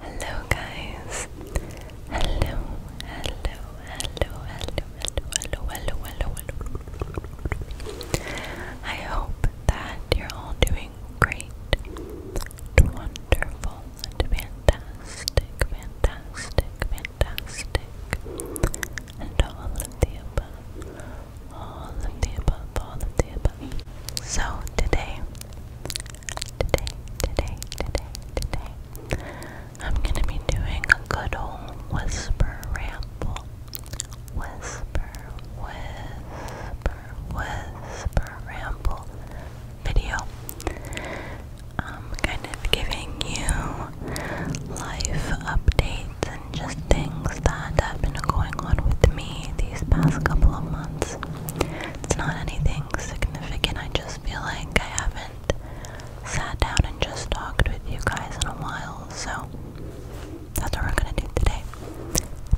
Hello guys. Hello, hello, hello, hello, hello, hello, hello, hello. I hope that you're all doing great. Wonderful fantastic, fantastic, fantastic. And all of the above. All of the above, all of the above. So today today, today, today, today, I'm gonna be doing a good old whisper ramble. Whisper, whisper, whisper ramble video. Um, kind of giving you life updates and just things that have been going on with me these past couple of months. It's not anything significant. I just feel like I haven't sat down and just talked with you guys in a while, so that's what we're gonna do today.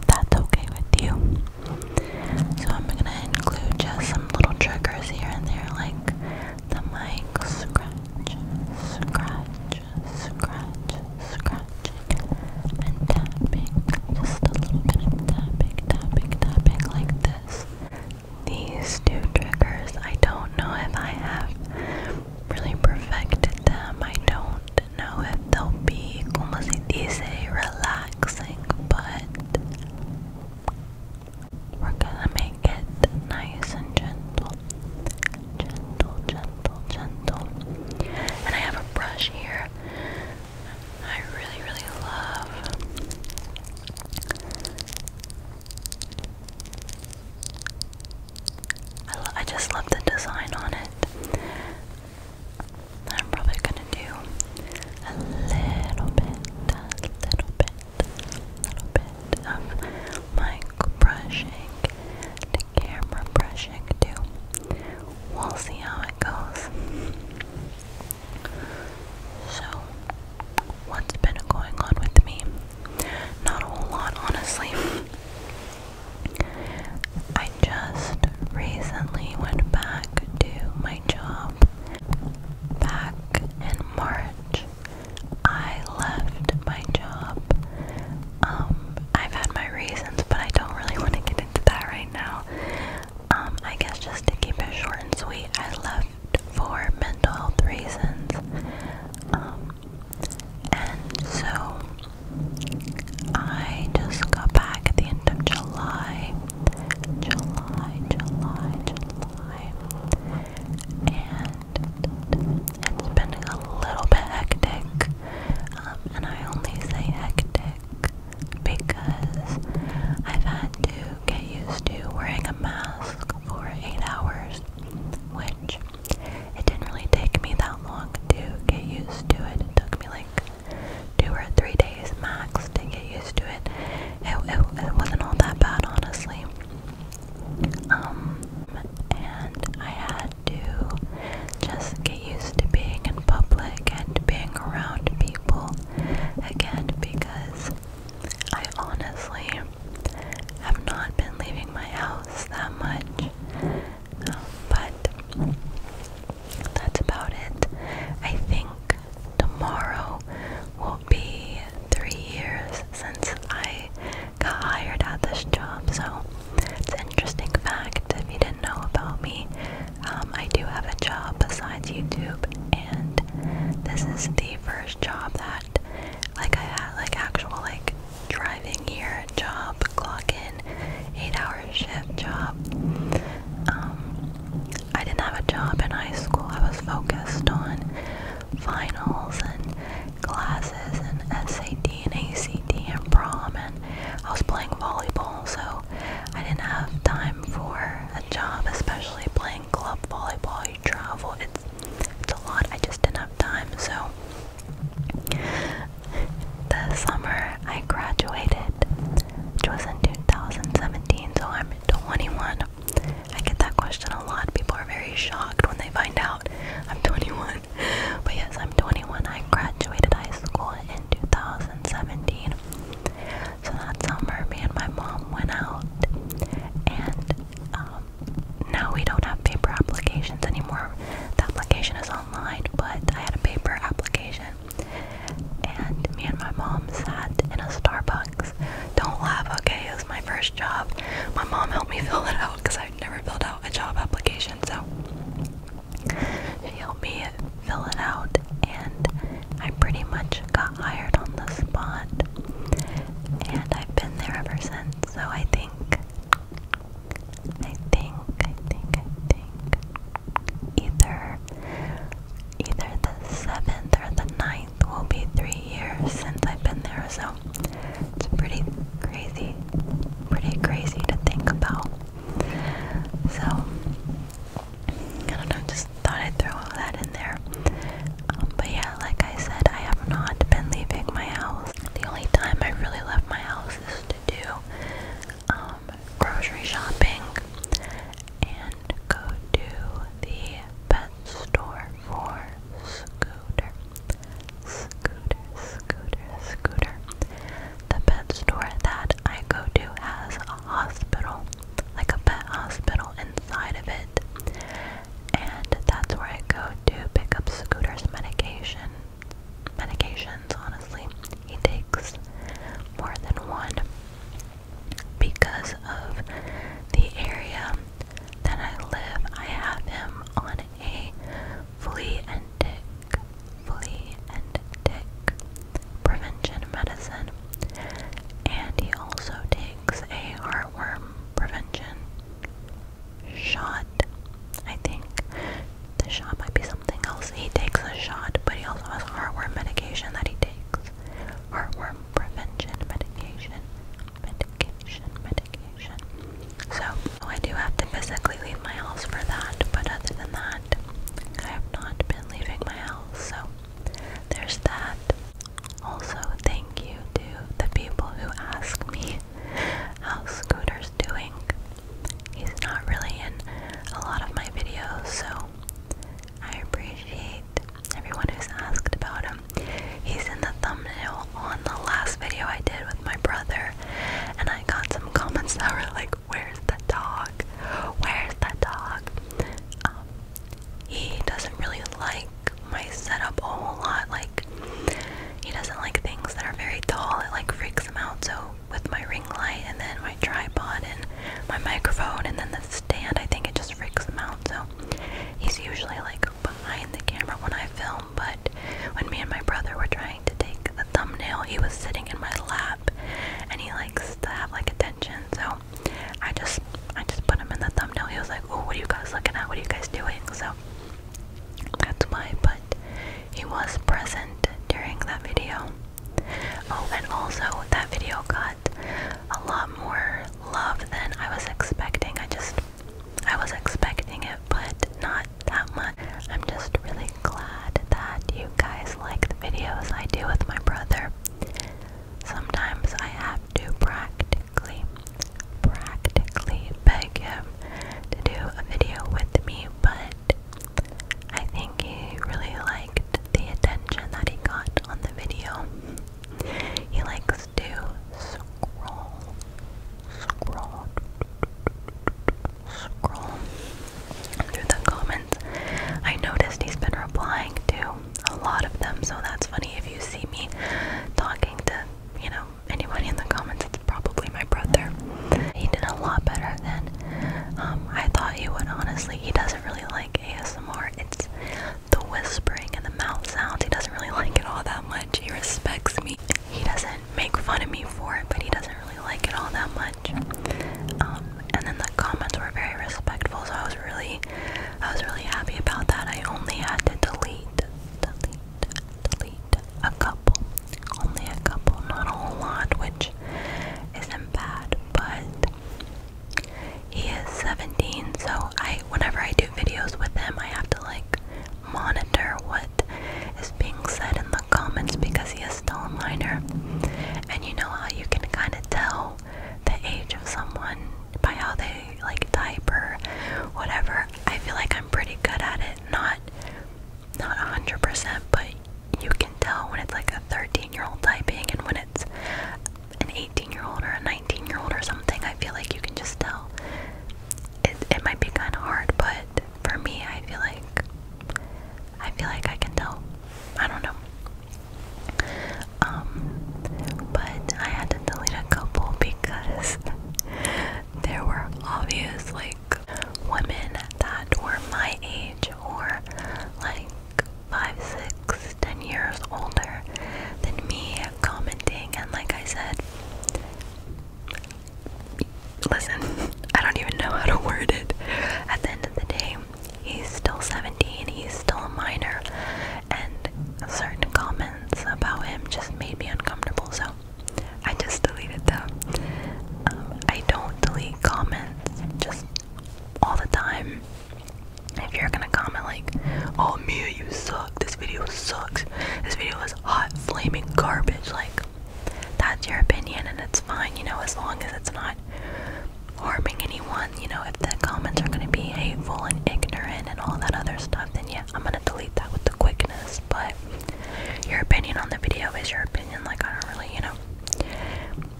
that's okay with you. So I'm gonna include just some little triggers here and there, like the mic scratch, scratch, scratch, scratch, and tapping, just a little bit of tapping, tapping, tapping like this. These two triggers, I don't know if I have really perfected them. I don't know if they'll be, como se dice, relaxing, but we're gonna make it nice and gentle. Gentle, gentle, gentle. And I have a brush here I really, really love. I, just love the design on it. I'm probably gonna do a little bit, a little bit, little bit of mic brushing to camera brushing too. We'll see how goes. So, what's been going on with me? Not a whole lot, honestly. I just recently went back to my job. Back in March, I left my job. Um, I've had my reasons, but I don't really want to get into that right now. Um, I guess just to keep it short and sweet, I left for mental health reasons. Um, and so I just got back at the end of July. July, July, July. And it's been a little bit hectic. Um, and I only say hectic because I've had to get used to wearing a mask for 8 hours, which it didn't really take me that long to get used to it. It took me like two or three days max to get used to it. It, wasn't all that bad, honestly. Um, and I had do. Just get used to being in public and being around people again because I honestly have not been leaving my house that much. but that's about it. I think tomorrow will be three years since I got hired at this job, so it's an interesting fact if you didn't didn't know about me, um, I do have a job besides YouTube, and this is the first job that, like, I had like actual like driving here job, clock in, eight-hour shift job. Um, I didn't have a job in high school. I was focused on finals and classes and SAT and ACT and prom, and I was playing volleyball, so I didn't have time for a job, especially playing club volleyball. You travel, it's, it's a lot. I just didn't have time, so the summer I graduated, which was in 2017, so I'm 21. I get that question a lot. People are very shocked when they find out I'm 21. But yes, I'm 21. I graduated high school in 2017. So that summer, me and my mom went out, and um, now we don't have paper applications anymore. The application is online, but I had a paper application. And me and my mom sat in a Starbucks. Don't laugh, okay? It was my first job. My mom helped me fill it out because I'd never filled out a job application. So he helped me fill it out, and I pretty much got hired on the spot. And I've been there ever since. So I think, I think, I think, I think, either, either the seventh or the ninth will be three years since I've been there. So it's pretty crazy, pretty crazy to think about. So, I don't know, just thought I'd throw that in there. Um, but yeah, like I said, I have not been leaving my house. The only time I really left my house is to do um, grocery shopping and go to the pet store for Scooter. Scooter, scooter, scooter. The pet store that I go to has a hospital, like a pet hospital inside of it. And that's where I go to pick up Scooter's medication. Medications, honestly. He takes more than one because of the area that I live. I have him on a flea and tick, flea and tick prevention medicine. And he also takes a heartworm prevention shot, I think. The shot might be something else. He takes a shot, but he also has heartworm medication that he takes. Heartworm prevention medication. Medication, medication. So oh, I do have to physically leave my house for that, but other than that, I have not been leaving my house, so there's that. Also, thank you to the people who ask me how Scooter's doing. He's not really in a lot of my videos, so I appreciate everyone who's asked about him. He's in the thumbnail on the last video I did with my brother, and I got some comments that were like, Where's the dog? Where's the dog? Um, he doesn't really like my setup a whole lot. Like, he doesn't like things that are very tall, it like freaks him out. So, with my ring light, and then my tripod, and my microphone, and then the stand, I think it just freaks him out. So, he's usually like behind the camera when I film, but when me and my brother were trying to take the thumbnail, he was sitting in my lap and he likes to have like attention. So I just I just put him in the thumbnail. He was like, Oh, what are you guys looking at? What are you guys doing? So that's why, but he was present during that video. Oh, and also that video got a lot more love than I was expecting. I just I was expecting it, but not that much. I'm just really glad that you guys like the videos I do with my brother. Sometimes I have to practically, practically beg him to do a video with me, but I think he really liked the attention that he got on the video. He likes to scroll, scroll, through the comments. I noticed he's been replying to a lot of them, so that's funny. If you see me talking to, you know, anybody in the comments, it's probably my brother. He did a lot better than um, I thought he would, honestly. He doesn't really like ASMR. It's the whispering and the mouth sounds. He doesn't really like it all that that much. He respects me. He doesn't make fun of me for it, but he doesn't really like it all that much. Um, and then the comments were very respectful, so I was really, I was really happy about that. I only had to delete, delete, delete a couple, only a couple, not a whole lot, which isn't bad. But he is 17, so I, whenever I do videos with him, I have to like monitor what is being said in the comments because he is still a minor. And you know how you can kind of tell the age of someone by how they like type or whatever. I feel like I'm pretty good at it. Not not 100%, but you can tell when it's like a 13 year old typing and when it's an 18 year old or a 19 year old or something, I feel like you can just tell. It, might be kind of hard, but for me, I feel like I feel like I can tell. I don't know. Um, but I had to delete a couple because there were obvious like women that were my age or like five, six, ten years older than me commenting and like I said, Listen, I don't even know how to word it. At the end of the day, he's still 17, he's still a minor, and certain comments about him just made me uncomfortable, so I just deleted them. Um, I don't delete comments just all the time if you're gonna comment like, "Oh Mia, you suck. This video sucks. This video is hot, flaming garbage," like that's your opinion and it's fine, you know, as long as it's not harming anyone. You know, if the comments are gonna be hateful and ignorant and all that other stuff, then yeah, I'm gonna delete that with the quickness. But your opinion on the video is your opinion. Like I don't really, you know,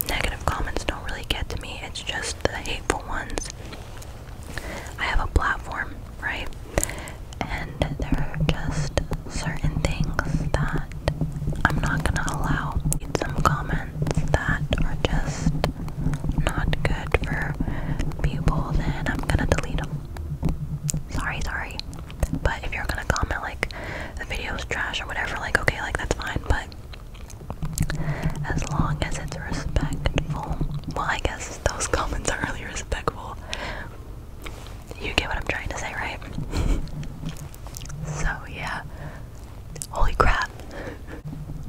negative comments don't really get to me. It's just the hateful ones I have a platform, right? And there are just certain things that I'm not gonna allow. Some comments that are just not good for people, then I'm gonna delete them. Sorry, sorry. But if you're gonna comment like the video's trash or whatever, like okay, like that's fine, but as long as it's respectful well, I guess those comments are really respectful. You get what I'm trying to say, right? so, yeah. Holy crap.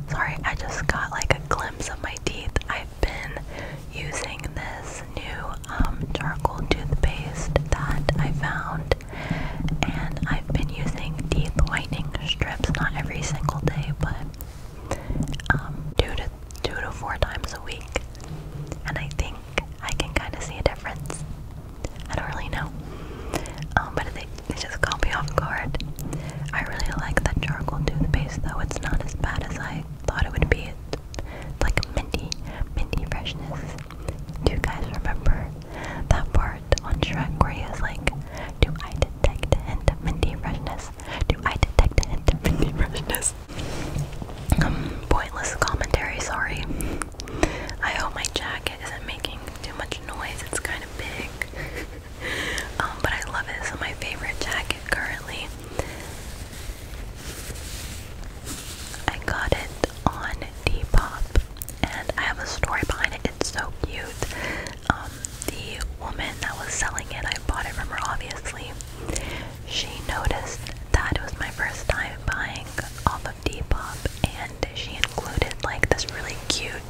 Sorry, I just got like a glimpse of my teeth. I've been using this new um, charcoal toothpaste that I found, and I've been using teeth whitening strips, not every single day, but um, two to two to four times a week, and I think I can kind of see a difference. I don't really know, um, but they, they just caught me off guard. I really like that charcoal toothpaste, though. It's not as bad as I thought it would be. It's like a minty, freshness. Do you guys remember that part on Shrek where he was like, "Do I detect a hint of minty freshness do I detect a freshness? Um, pointless commentary, sorry. I hope my jacket isn't making too much noise, it's kind of big. Um, but I love it, it's my favorite jacket currently. I got it on Depop and I have a story behind it. It's so cute. Um, the woman that was selling it, I bought it from her obviously. She noticed that it was my first time buying off of Depop and she included like this really cute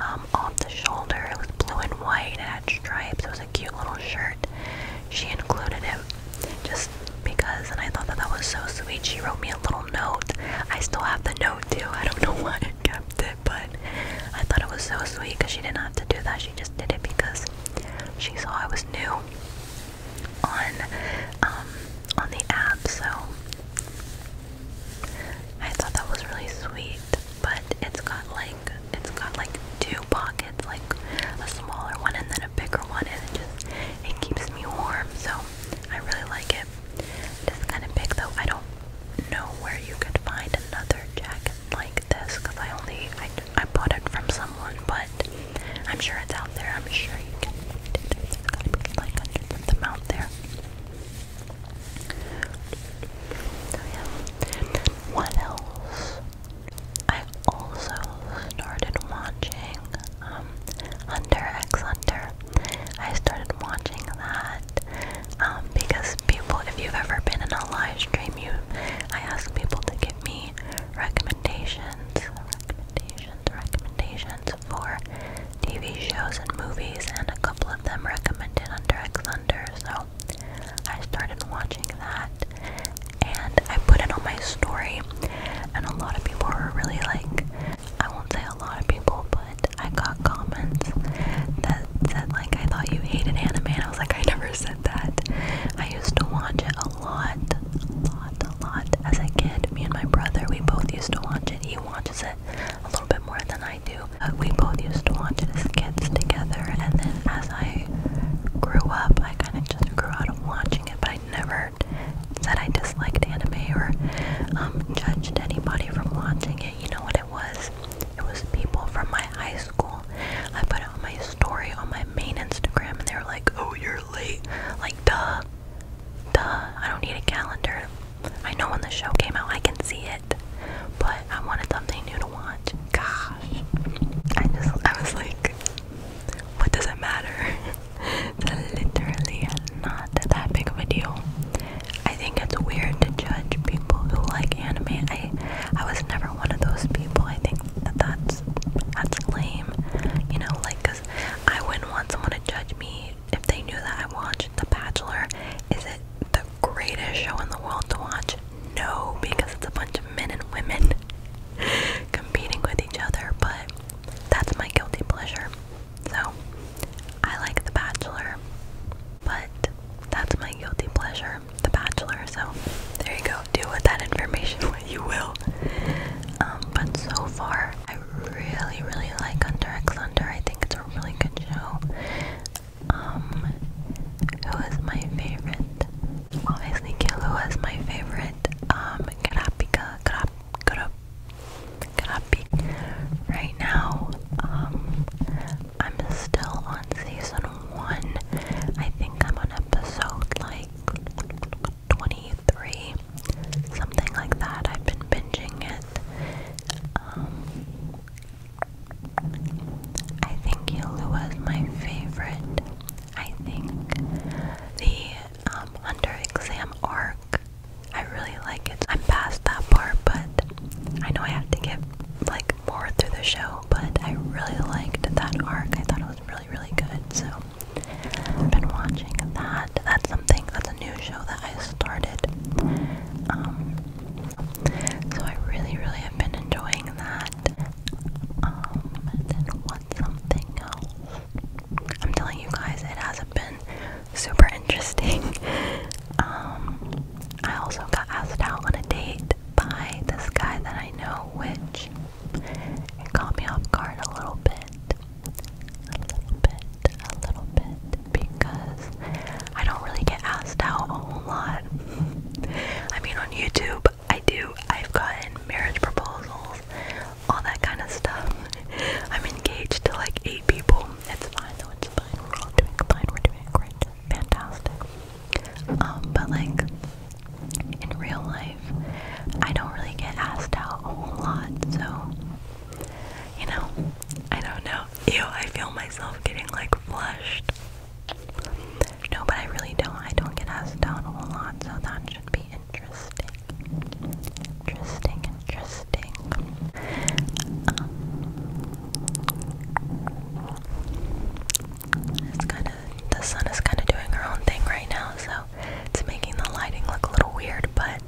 um, off the shoulder. with blue and white, it had stripes, it was a cute little shirt. She included it just because, and I thought that that was so sweet. She wrote me a little note. I still have the note too, I don't know why I kept it it, but I thought it was so sweet because she didn't have to do that. She just did it because she saw I was new on um, on the app. So I thought that was really sweet. But it's got like it's got like two pockets, like a smaller one and then a bigger one, and it just it keeps me warm. So I really like it. It's kind of big though. I don't know where you could find another jacket like this because I only I, I bought it from someone, but I'm sure it's out there. I'm sure you can like hundreds them out there. So yeah. What else? I also started watching um, Hunter X under. I started watching that that um, because people, if you've ever been in a live stream, you, I ask people to give me recommendations, recommendations, recommendations for TV shows and movies, and a couple of them recommended Under X Under, so I started watching that, and I put it on my story, and a lot of people were really like I won't say a lot of people, but I got comments that said like I thought you hated anime and I was like I never said that. I used to watch it a lot, a lot, a lot as a kid. Me and my brother, we both used to watch it. He watches it a little bit more than I do. But we both used to watch it as kids together and then as I grew up I kinda just grew out of watching it but I never said I disliked anime or um, judged anybody from watching it you know what it was? It was people from my high school. I put out my story on my main Instagram and they were like, oh, you're late. Like, duh. Duh. I don't need a calendar. I know when the show came out, I can see it. But I wanted something new to watch. Gosh. I just, I was like, what does it matter? it's literally not that big of a deal. I think it's weird to judge people who like anime. I was never one of those people. I think that that's that's lame. You know, like cuz I wouldn't want someone to judge me if they knew that I watched The Bachelor. Is it the greatest show in the world to watch? No, because it's a bunch of men and women competing with each other, but that's my guilty pleasure. So, I like The Bachelor, but that's my guilty pleasure, The Bachelor. So, there you go. Do with that information what you will. Um, but so far, I really, really like Under X Under. I think it's a really good show. Um, who is my favorite? Obviously, Kill, who is my favorite? Um, Karapika, Karap, Right now, um, I'm still on season one. I think I'm on episode like 23, something like that. I've been binging it. Um, I think Yulua is my favorite. I think the um, exam arc I really like it. I'm past that part, but I know I have to get like more through the show, but I really liked that arc. I thought it was really, really good. So I've been watching that. That's something that's a new show that I started. Um so I really, really have been enjoying that. Um then what's something else? I'm telling you guys it hasn't been super interesting. Um, I also got asked out on a date by this guy that I know, which caught me off guard a little bit. A little bit, a little bit, because I don't really get asked out a whole lot. I mean, on YouTube, I do. I've gotten marriage proposals, all that kind of stuff. I'm engaged to like eight people. It's fine though, it's fine. We're all doing fine, we're doing great. Fantastic. Um, but like in real life, I don't really get asked out a whole lot, so you know, I don't know. Ew, I feel myself getting like flushed. No, but I really don't. I don't get asked out a whole lot, so that should be interesting. Interesting, interesting. Um, it's kind of the sun is kind of doing her own thing right now, so it's making the lighting look a little weird. But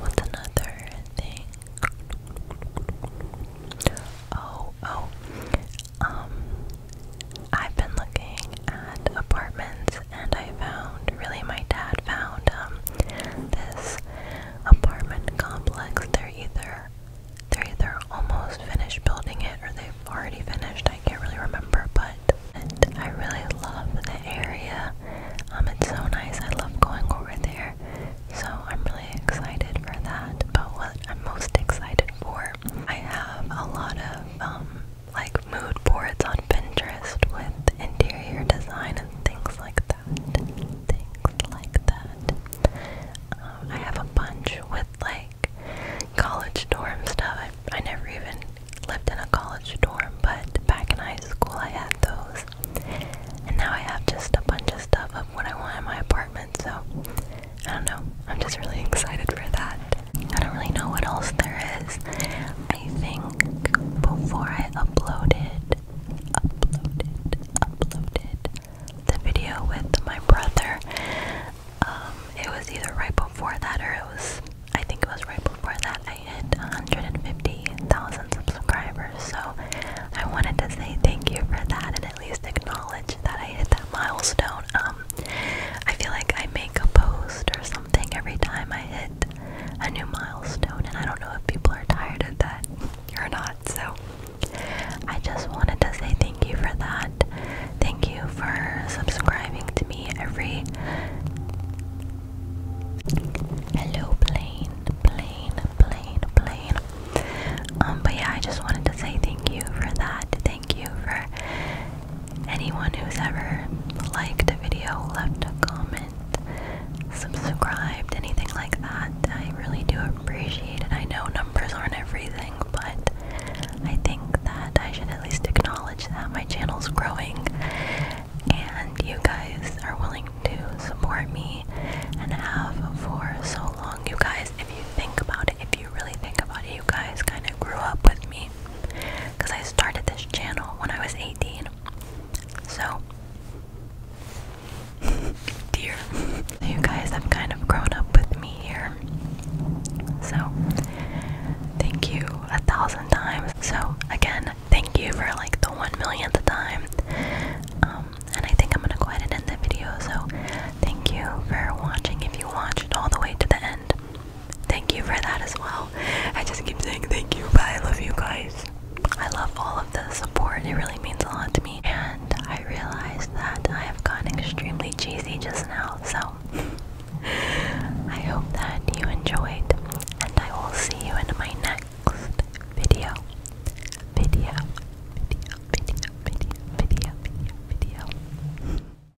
what's another thing? Oh, oh. Um, I've been looking at apartments and I found, really my dad found um, this apartment complex. They're either, they're either almost finished building it or they've already finished. I can't really remember, but and I really love the area. Um, it's so nice. I love going over there. So I'm really excited for that. But what I'm most excited for, I have a lot of um, like mood boards on Pinterest with interior design and things like that. Things like that. Um, I have a bunch with like college dorm stuff. I, I never even lived in a college dorm, but back in high school I had those. And now I have just a bunch of stuff of what I want in my apartment, so I don't know. I'm just really excited for that. I don't really know what else there is. I think before I uploaded, uploaded, uploaded the video with my brother, um, it was either right before that or it was, I think it was right before that, I hit 150,000 subscribers. So I wanted to say thank you for that and at least acknowledge that I hit that milestone. Um, I feel like I make a post or something something every time I hit a new milestone, and I don't know if people are tired of that or not. So I just wanted to say thank you for that. Thank you for subscribing to me every. Hello, plane, plane, plane, plane. Um, but yeah, I just wanted to say thank you for that thank you for anyone who's ever liked a video, left a comment, subscribed, anything like that. I really do appreciate it. I know numbers aren't everything, but I think that I should at least acknowledge that my channel's growing and you guys are willing to support me and have for so long. You guys, if you think about it, if you really think about it, you guys kind of grew up with me because I started this channel when I was 18. So, dear, you guys have kind of grown up with me here. So, thank you a thousand times. So, again, thank you for like the one millionth time. Um, and I think I'm gonna go ahead and end the video. So, thank you for watching if you watched all the way to the end. Thank you for that as well. I just keep saying thank you, but I love you guys. I love all of the support. It really means a lot to me. And I realized that I have gotten extremely cheesy just now. So I hope that you enjoyed. And I will see you in my next video. Video. Video. Video. Video. Video. Video. video.